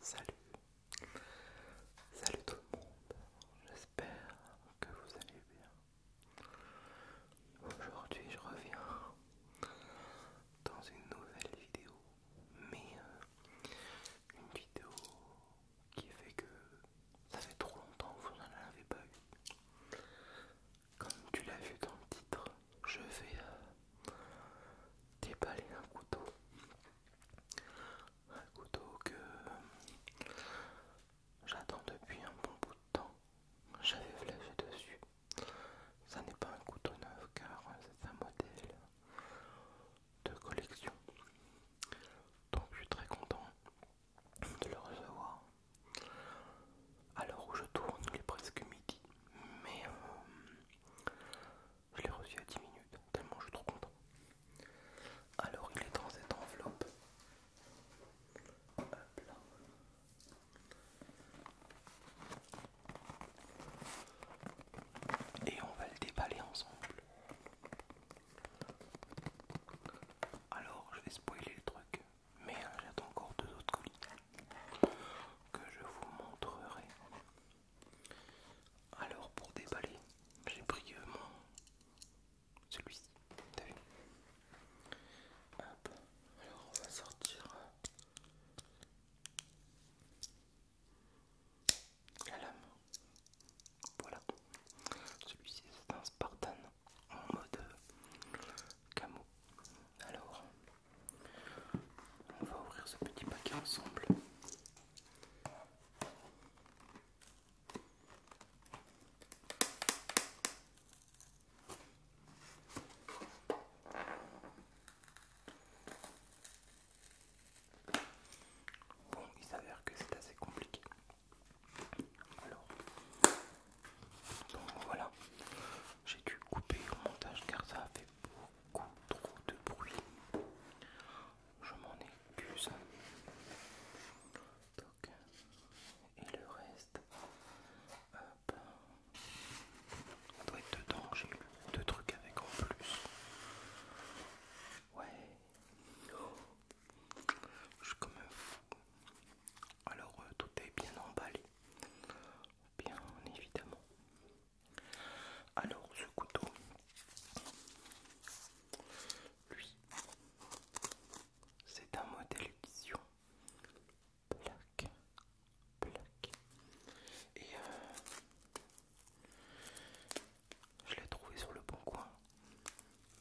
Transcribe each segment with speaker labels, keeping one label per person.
Speaker 1: salut, salut tout le monde, j'espère que vous allez bien. Aujourd'hui je reviens dans une nouvelle vidéo mais euh, une vidéo qui fait que ça fait trop longtemps que vous n'en avez pas eu. Comme tu l'as vu dans le titre, je vais euh, déballer un couteau. Un couteau que j'attends depuis un bon bout de temps. J'avais flashé dessus. Ça n'est pas un couteau neuf car euh, c'est un modèle de collection. Donc je suis très content de le recevoir. Alors où je tourne, il est presque midi, mais euh, je l'ai reçu à 10 minutes, tellement je suis trop content. Alors il est dans cette enveloppe. Et on va le déballer ensemble. Alors, je vais spoiler le truc, mais hein, j'ai encore deux autres colis que je vous montrerai. Alors, pour déballer, j'ai pris euh, mon celui-ci. vu Alors, on va sortir voilà, celui-ci c'est un Spartan en mode euh, camo. Alors, on va ouvrir ce petit paquet ensemble. Bon, il s'avère que c'est assez compliqué. Alors, donc voilà, j'ai dû couper au montage car ça a fait beaucoup trop de bruit. Je m'en excuse. et le reste, hop, ça doit être dedans. J'ai eu deux trucs avec en plus. Ouais. Je suis comme un fou. Alors euh, tout est bien emballé. Bien évidemment. Alors ce couteau, lui, c'est un modèle vision Plaque. Plaque. Et euh, je l'ai trouvé sur le bon coin,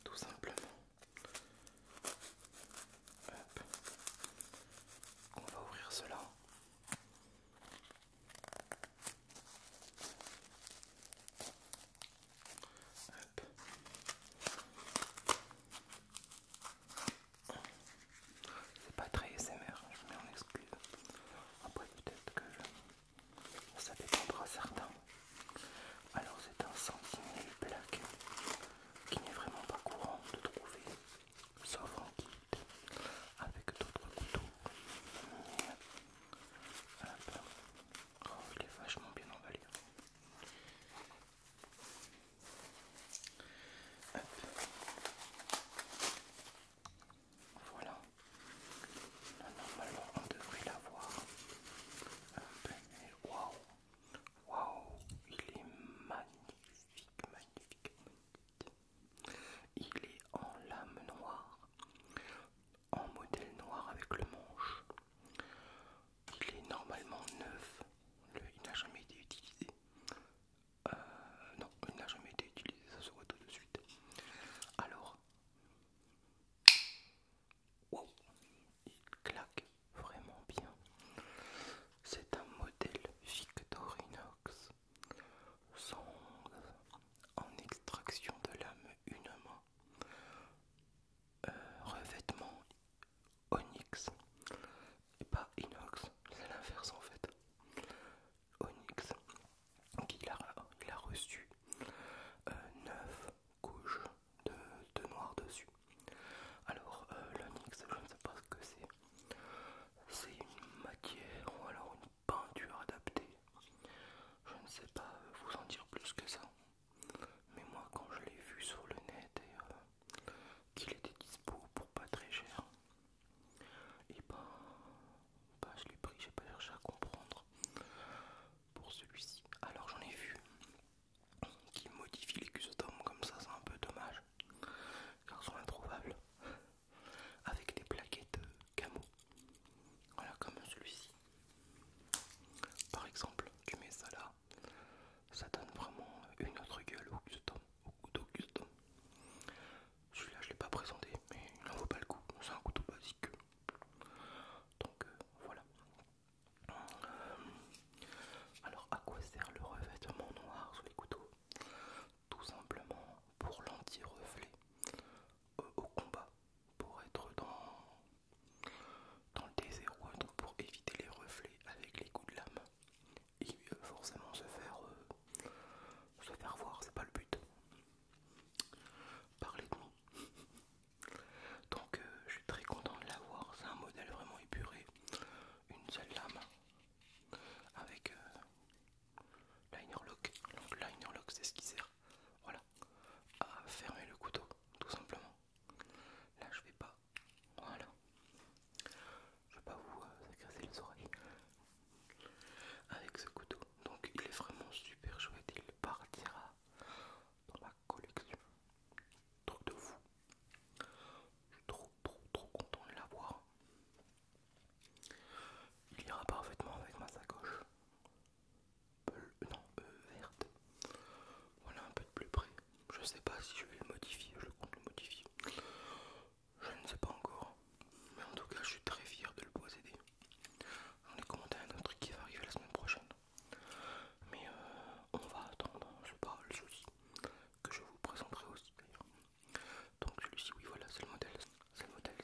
Speaker 1: tout simplement. On va ouvrir cela. C'est pas très SMR, hein, je mets en excuse. Après peut-être que je ça dépendra certains. Alors c'est un sentinelle plaque qui n'est vraiment pas courant de trouver, sauf en quitte avec d'autres couteaux. Euh, oh, il est vachement bien emballé. Voilà. normalement, on devrait l'avoir un Waouh! Waouh! Il est magnifique, magnifique, Il est en lame noire, en modèle noir avec le manche. Il est normalement neuf. il n'a jamais été utilisé. Euh, non, il n'a jamais été utilisé, ça se voit tout de suite. Alors, oh, il claque vraiment bien. C'est un modèle Victorinox, sans en extraction de lame une main, euh, revêtement onyx et pas inox, c'est l'inverse en fait. Onyx qu'il l'a il reçu euh, neuf couches de, noir dessus. Alors euh, l'onyx, je ne sais pas ce que c'est. C'est une matière ou alors une peinture adaptée. Je ne sais pas vous en dire plus que ça. Mais moi quand je l'ai vu sur le net et euh, qu'il était dispo pour pas très cher, et ben, je l'ai pris, j'ai pas cherché à comprendre pour celui-ci. Alors j'en ai vu qui modifie les customs comme ça, c'est un peu dommage car ils sont introuvables avec des plaquettes euh, camo. Voilà, comme celui-ci. Par exemple, tu mets ça là, ça donne vraiment une autre gueule au custom, au celui-là, je l'ai pas présenté, mais il n'en vaut pas le coup. C'est un couteau basique. Donc euh, voilà. Euh, alors, à quoi sert le revêtement noir sur les couteaux Tout simplement pour l'anti-reflet euh, au combat, pour être dans, dans le désert, pour éviter les reflets avec les coups de lame et forcément se faire, se faire voir, c'est pas le but. Parlez de moi. Donc euh, je suis très content de l'avoir, c'est un modèle vraiment épuré, une seule lame avec linerlock euh, liner lock. Donc liner lock c'est ce qui sert voilà à fermer le couteau tout simplement. Là je vais pas. Voilà. Je vais pas vous euh, agresser les oreilles avec ce couteau. Donc il est vraiment super chouette, il partira dans ma collection. Truc de fou. Je suis trop trop trop content de l'avoir. Il ira parfaitement avec ma sacoche. non, euh, verte. Voilà un peu de plus près. Je sais pas si je vais le modifier, je compte le modifier. Je ne sais pas encore. Mais en tout cas, je suis très fier de le posséder. on ai commenté un autre qui va arriver la semaine prochaine. Mais euh, on va attendre, hein. je parle le souci. que je vous présenterai aussi d'ailleurs. Donc celui-ci, oui voilà, c'est le modèle. C'est le modèle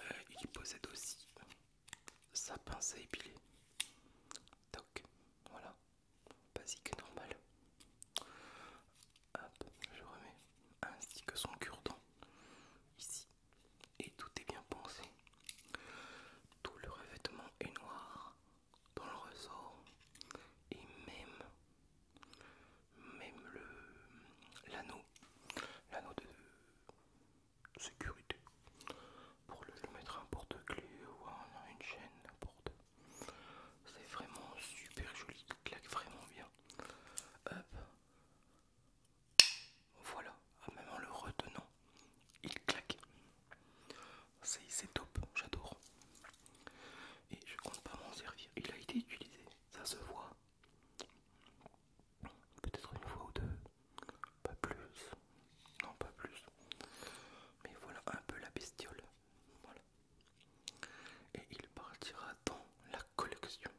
Speaker 1: euh, il possède aussi sa pince à épiler. Donc voilà. Basique, normal. Hop, je remets ainsi que son cure-dent ici. Et tout est bien pensé. Tout le revêtement est noir dans le ressort. Et même, même le l'anneau. de sécurité. Pour le mettre un porte-clé ou à une chaîne, C'est vraiment super joli, il claque vraiment bien. Hop. Voilà, même en le retenant, il claque. C'est top, j'adore. Et je compte pas m'en servir. Il a été utilisé, ça se voit. Peut-être une fois ou deux, pas plus. Non, pas plus. Mais voilà un peu la bestiole. Voilà. Et il partira dans la collection.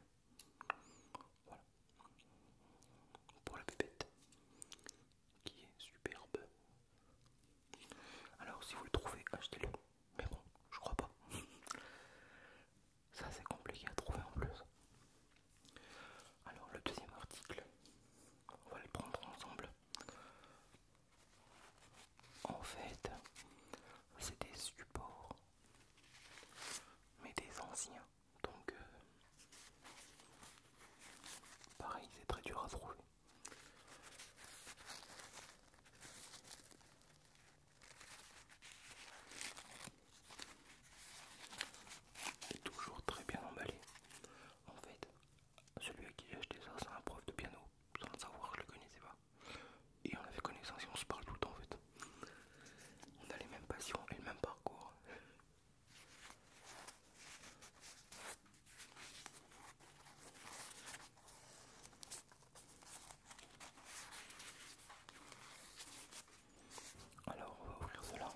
Speaker 1: Voilà. Pour la pépette. Qui est superbe. Alors si vous le trouvez, achetez-le. Mais bon, je crois pas. Ça c'est compliqué à trouver en plus. Alors le deuxième article, on va le prendre ensemble. En fait, c'est des supports, mais des anciens. Donc, euh, pareil, c'est très dur à trouver. C'est toujours très bien emballé. En fait, celui à qui j'ai acheté ça, c'est un prof de piano. Sans le savoir, je le connaissais pas. Et on avait connaissance on se parle tout le temps en fait. On a les mêmes passions et le même parcours. Alors on va ouvrir cela.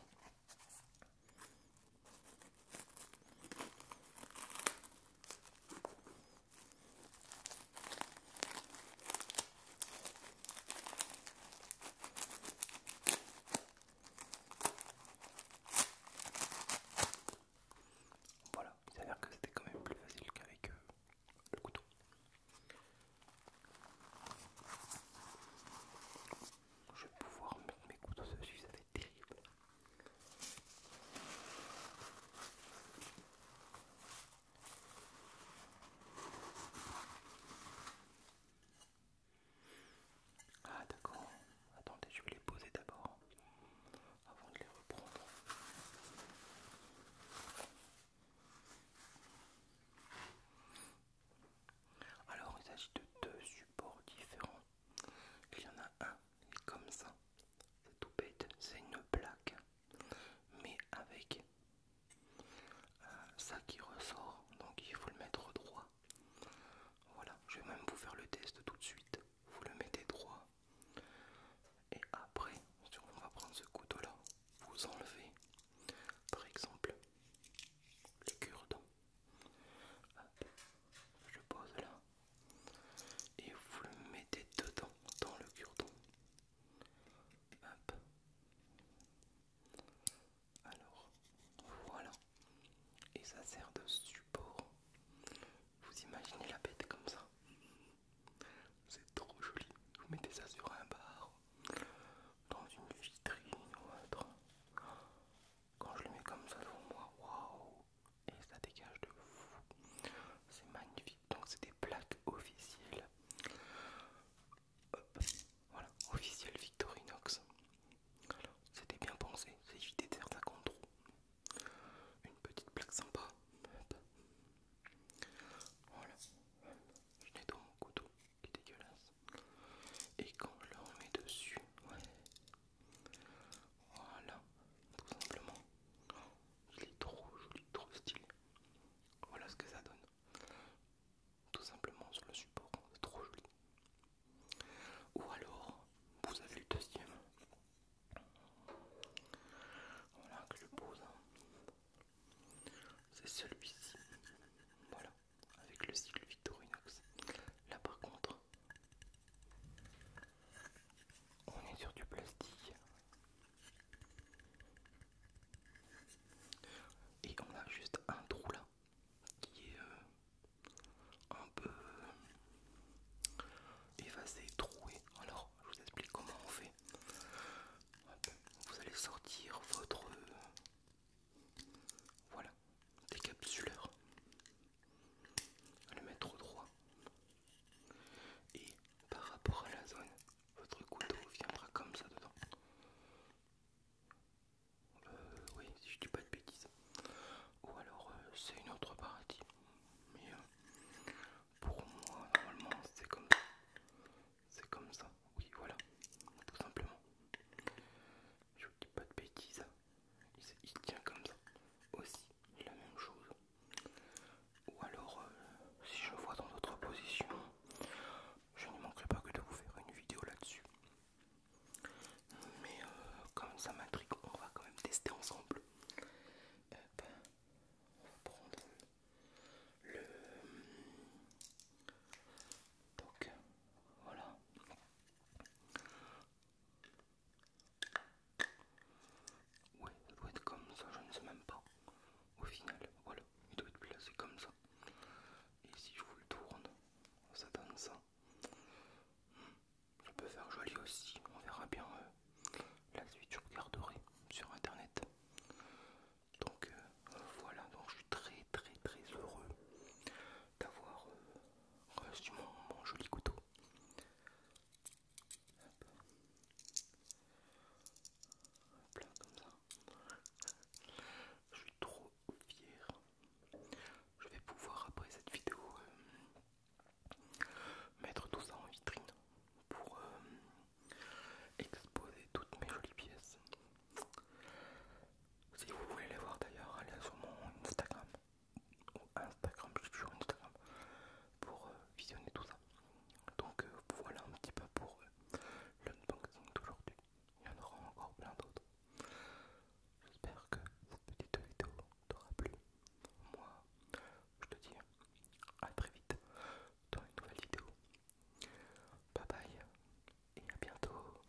Speaker 1: Voilà, il s'avère que c'était quand même plus facile qu'avec euh, le couteau. Je vais pouvoir mettre mes couteaux dessus, ça va être terrible. Ah d'accord, attendez, je vais les poser d'abord avant de les reprendre. Alors il s'agit de deux supports différents. Il y en a un, comme ça, c'est tout bête, c'est une plaque mais avec euh, ça qui ressort, donc il faut le mettre droit. Voilà, je vais même vous faire le test tout de suite. Vous le mettez droit et après, on va prendre ce couteau-là, vous enlevez par exemple les cure-dents. Je pose là et vous le mettez dedans, dans le cure Hop. Alors, voilà. Et ça sert de support. Vous imaginez la bête comme ça C'est trop joli. Vous mettez ça sur un bar, dans une vitrine ou autre. Quand je le mets comme ça devant moi, waouh et ça dégage de fou. C'est magnifique. Donc c'est des plaques officielles. Voilà, officiel Victorinox. C'était bien pensé, c'est évité de faire ça contre. Une petite plaque sympa. Voilà. Je nettoie mon couteau qui est dégueulasse. Et quand je le remets dessus, Voilà, tout simplement. Il est trop joli, trop stylé. Voilà ce que ça donne. Tout simplement sur le support, c'est trop joli. Ou alors, vous avez le deuxième. Voilà que je pose. Hein. C'est celui-ci. Voilà, avec le cycle Victorinox. Là par contre, on est sur du plastique. Et on a juste un trou là qui est euh, un peu euh, effacé, troué. Alors je vous explique comment on fait. Vous allez sortir votre... Voilà, décapsuleur. On le mettre au droit. Et par rapport à la zone, votre couteau viendra comme ça dedans. Euh, oui, si je dis pas de bêtises. Ou alors euh, c'est une autre partie. Mais euh, pour moi, normalement, c'est comme ça. C'est comme ça. Oui, voilà. Tout simplement. Je vous dis pas de bêtises. il tient comme ça. Aussi, la même chose. Ou alors, euh, si je vois dans d'autres positions, je ne manquerai pas que de vous faire une vidéo là-dessus. Mais euh, comme ça m'intrigue, on va quand même tester ensemble. On le... Donc, voilà. Ouais, ça doit être comme ça, je ne sais même pas. Au final, voilà, il doit être placé comme ça. Et si je vous le tourne, ça donne ça. Je peux faire joli aussi, on verra bien euh, la suite, je regarderai sur internet. Donc euh, voilà, donc je suis très très très heureux d'avoir euh, reçu mon joli couteau ça. Je suis trop fière. Je vais pouvoir après cette vidéo euh, mettre tout ça en vitrine pour euh, exposer toutes mes jolies pièces. Si vous voulez les voir d'ailleurs, allez sur mon Instagram. Ou Instagram, je suis sur Instagram pour euh, visionner tout ça. Donc euh, voilà un petit peu pour le euh, l'unboxing d'aujourd'hui. Il y en aura encore plein d'autres. J'espère que cette petite vidéo t'aura plu. Moi, je te dis à très vite dans une nouvelle vidéo. Bye bye et à bientôt.